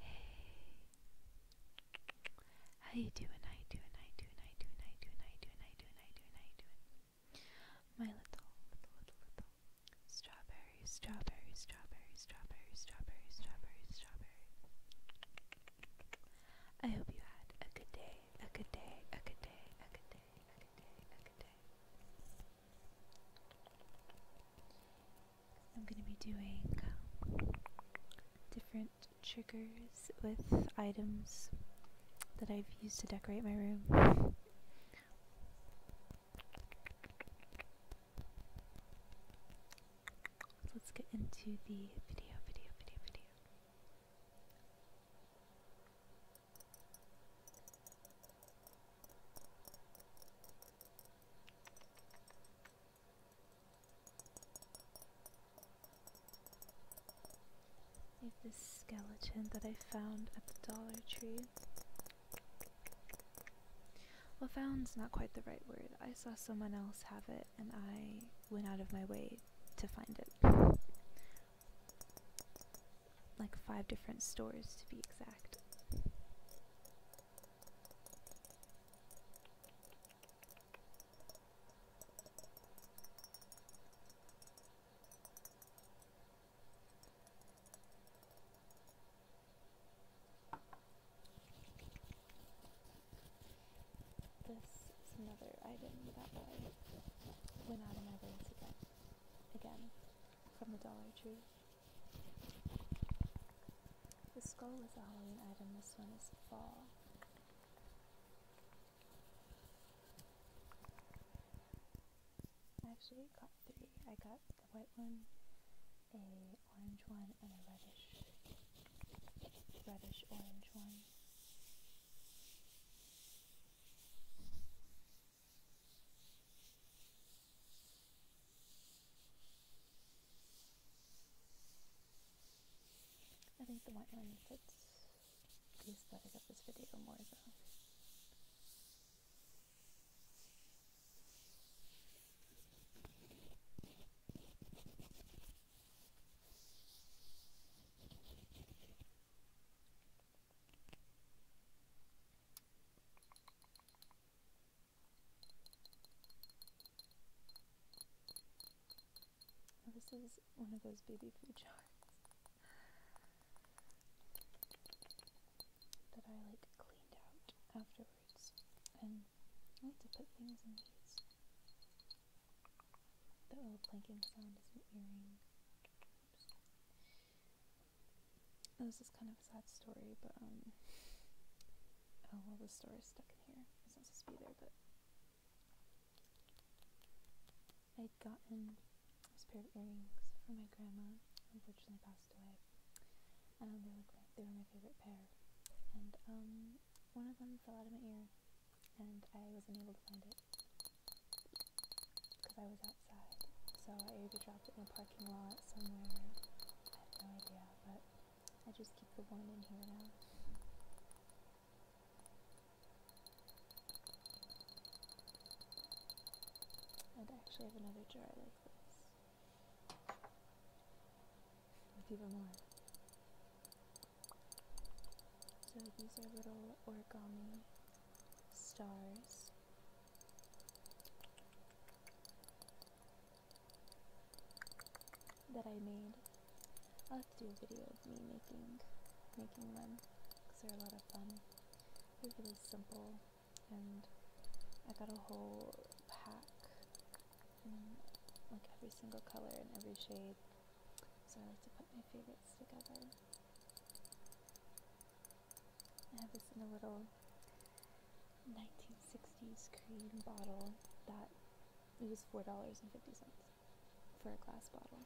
Hey, how you doing? How you doing? How you doing? How you doing? How you doing? How you doing? How you doing? How you doing? How you doing? My little, little, little, little strawberry, strawberry, strawberry, strawberry, strawberry, strawberry, strawberry. I hope you had a good day, a good day, a good day, a good day, a good day, a good day. I'm going to be doing different triggers with items that I've used to decorate my room. let's get into the video, video, video, video. I this skeleton that I found at the Dollar Tree. Well, found's not quite the right word. I saw someone else have it and I went out of my way to find it. Like five different stores to be exact. This is another item that I went out of my way to get again from the Dollar Tree. The skull was a Halloween item, this one is fall. I Actually, got three. I got the white one, a orange one, and a reddish, reddish orange one. I think the white line fits the aesthetic of this video more though this is one of those baby food jars that I like cleaned out afterwards, and I like to put things in these. The little planking sound is an earring. Oh, this is kind of a sad story, but um, oh well, the story's stuck in here. It's not supposed to be there, but I'd gotten this pair of earrings from my grandma, who unfortunately passed away. Um, they were they were my favorite pair, and um, one of them fell out of my ear, and I wasn't able to find it because I was so I either dropped it in a parking lot somewhere, I have no idea, but I just keep the one in here now. i actually have another jar like this with even more. So these are little origami stars that I made. I'll have to do a video of me making making them because they're a lot of fun. They're really simple, and I got a whole pack, in like every single color and every shade. So I like to put my favorites together. I have this in a little 1960s cream bottle that it was four dollars and fifty cents for a glass bottle.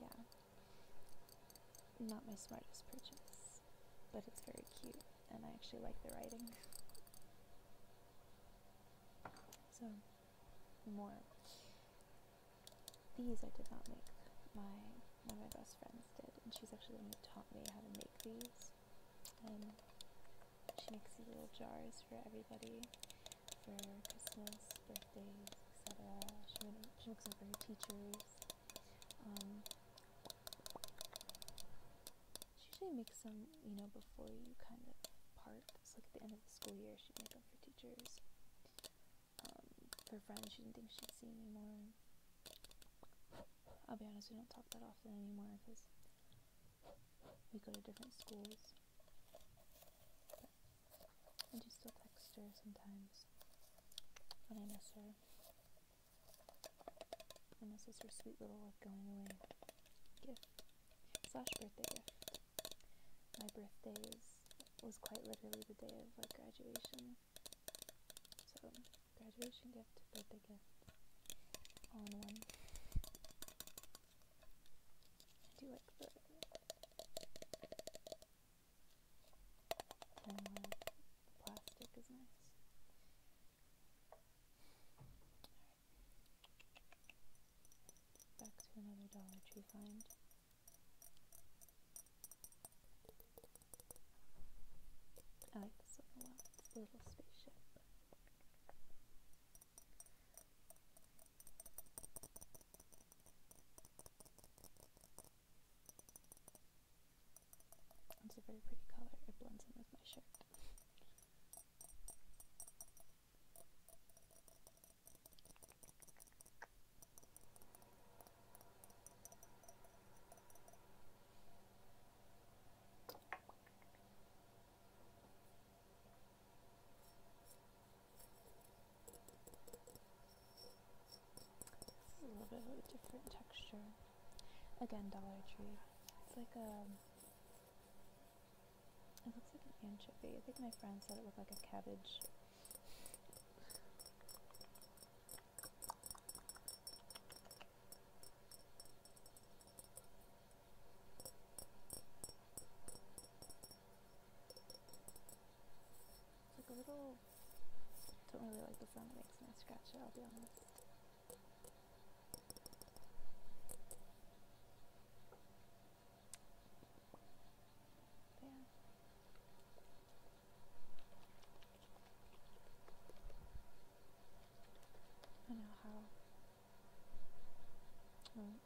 Yeah, not my smartest purchase, but it's very cute, and I actually like the writing. So, more. These I did not make. My one of my best friends did, and she's actually the one who taught me how to make these. And um, she makes these little jars for everybody for Christmas, birthdays, etc. She, she makes them for her teachers. Um, she usually makes them, you know, before you kind of part. It's like at the end of the school year, she'd make them for teachers her friends. She didn't think she'd see anymore. I'll be honest, we don't talk that often anymore because we go to different schools. But I do still text her sometimes when I miss her. And this is her sweet little like going away gift slash birthday gift. My birthday was quite literally the day of like graduation. So, graduation gift, birthday gift, all in one. I do like the the plastic is nice. Back to another Dollar Tree find. I like this one a lot. It's a little spaceship. It's a very pretty color. It blends in with my shirt a little bit of a different texture. Again, Dollar Tree. It's like a. Um, it looks like an anchovy. I think my friend said it looked like a cabbage it's like a little. Don't really like the sound it makes when I scratch it. I'll be honest. yeah. I don't know how.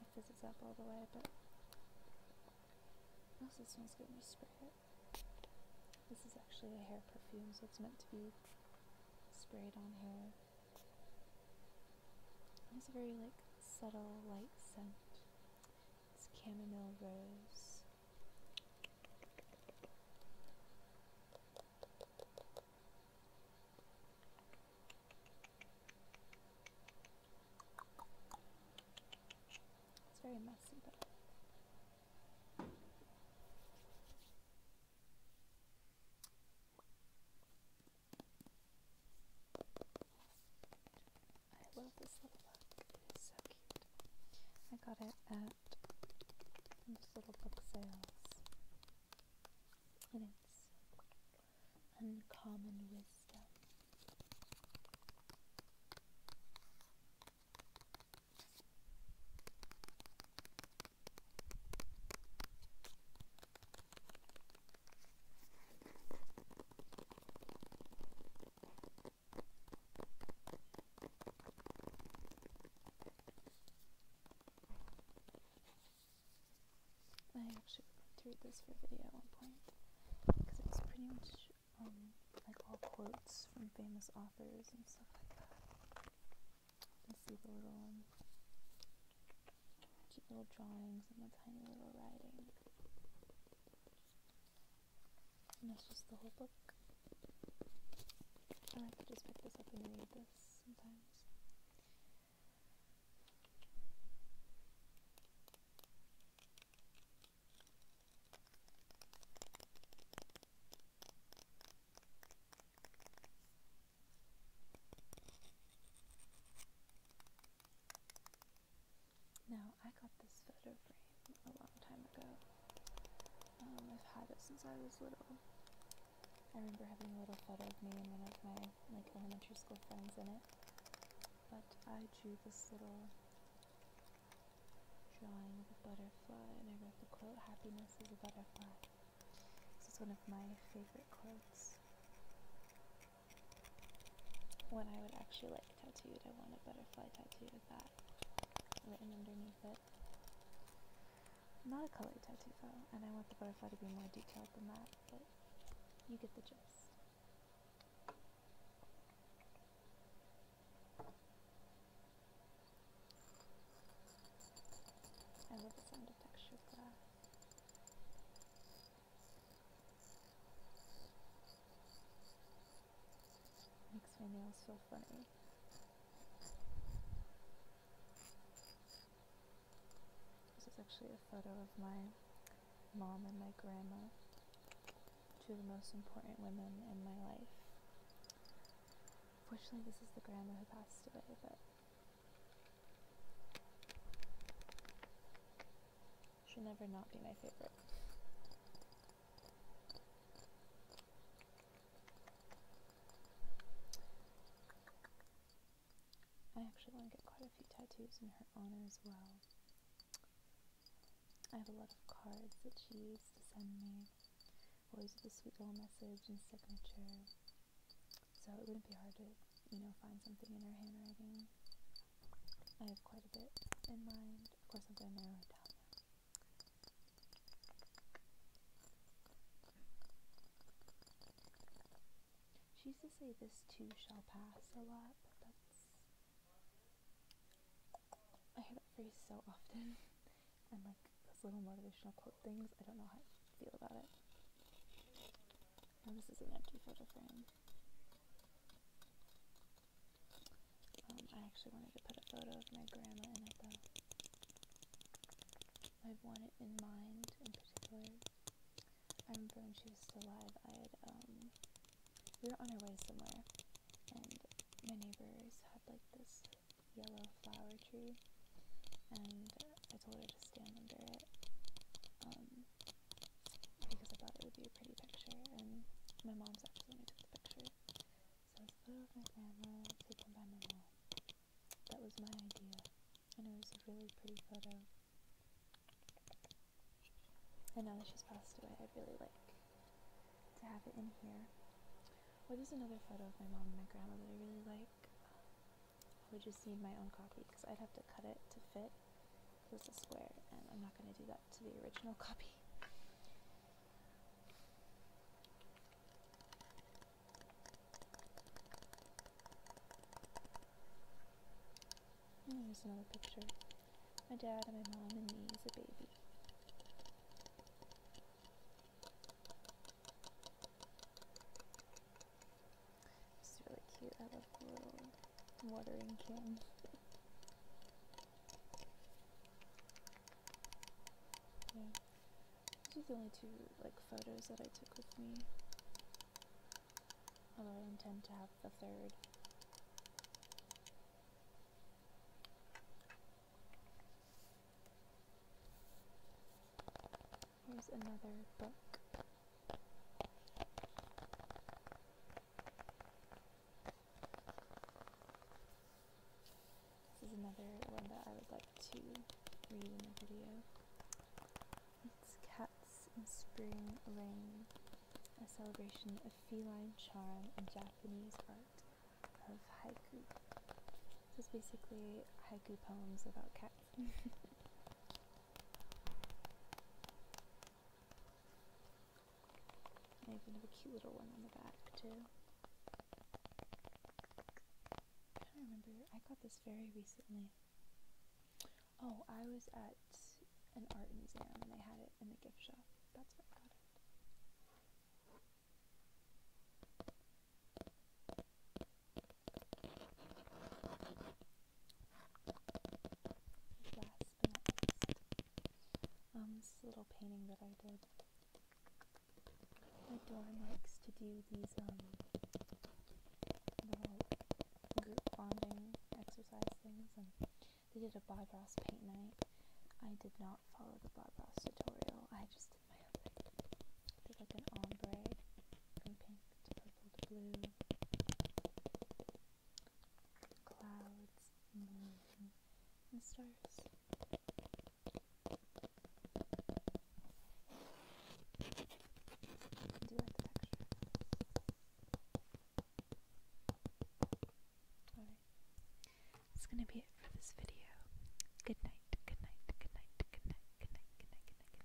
if this is up all the way, but also smells good when you This is actually a hair perfume, so it's meant to be sprayed on hair. And it's a very like subtle, light scent. It's camomile rose. It's very messy, but. I love this little book. It is so cute. I got it at those little book sales. And it's Uncommon Wisdom. I actually wanted to read this for a video at one point because it's pretty much um, like all quotes from famous authors and stuff like that. You can see the little um, cute little drawings and the tiny little writing. And that's just the whole book. I might to just pick this up and read this sometimes. Now, I got this photo frame a long time ago. Um, I've had it since I was little. I remember having a little photo of me and one of my like elementary school friends in it. But I drew this little drawing of a butterfly and I wrote the quote, happiness is a butterfly. This is one of my favorite quotes. When I would actually like tattooed, I want a butterfly tattoo with that written underneath it. Not a colored tattoo though, and I want the butterfly to be more detailed than that, but you get the gist. I love the sound of textured glass. Makes my nails so funny. This is actually a photo of my mom and my grandma, two of the most important women in my life. Unfortunately, this is the grandma who passed away, but She'll never not be my favorite. I actually want to get quite a few tattoos in her honor as well. I have a lot of cards that she used to send me, always with a sweet little message and signature. So it wouldn't be hard to, you know, find something in her handwriting I have quite a bit in mind. Of course, I'm going to narrow She used to say this too shall pass a lot, but that's. I hear that phrase so often. and like those little motivational quote things, I don't know how I feel about it. Oh, this is an empty photo frame. Um, I actually wanted to put a photo of my grandma in it though. I've one in mind in particular. I remember when she was still alive, I had, um, we were on our way somewhere, and my neighbors had like this yellow flower tree, and I told her to stand under it. Um, because I thought it would be a pretty picture, and my mom's actually when I took the picture. So I put it with my camera, taken by my mom. That was my idea, and it was a really pretty photo. And now that she's passed away, I'd really like to have it in here. Well, there's another photo of my mom and my grandma that I really like. I would just need my own copy because I'd have to cut it to fit. It's a square, and I'm not going to do that to the original copy. And there's another picture. My dad and my mom and me as a baby. It's really cute. I love the little watering can. yeah. These are the only two like photos that I took with me. Although I intend to have the third. Here's another book. This is another one that I would like to read in the video. It's Cats in Spring Rain: a celebration of feline charm and Japanese art of haiku. This is basically haiku poems about cats. I a cute little one on the back too. I remember. I got this very recently. Oh, I was at an art museum and they had it in the gift shop. That's where I got it. Um, this little painting that I did. My dorm likes to do these um, bonding exercise things, and they did a Bob Ross paint night. I did not follow the Bob Ross tutorial. I just did my own thing. Did like an ombre from pink to purple purple gonna be it for this video. good night, good night, good night, good night, good night, good night, good night.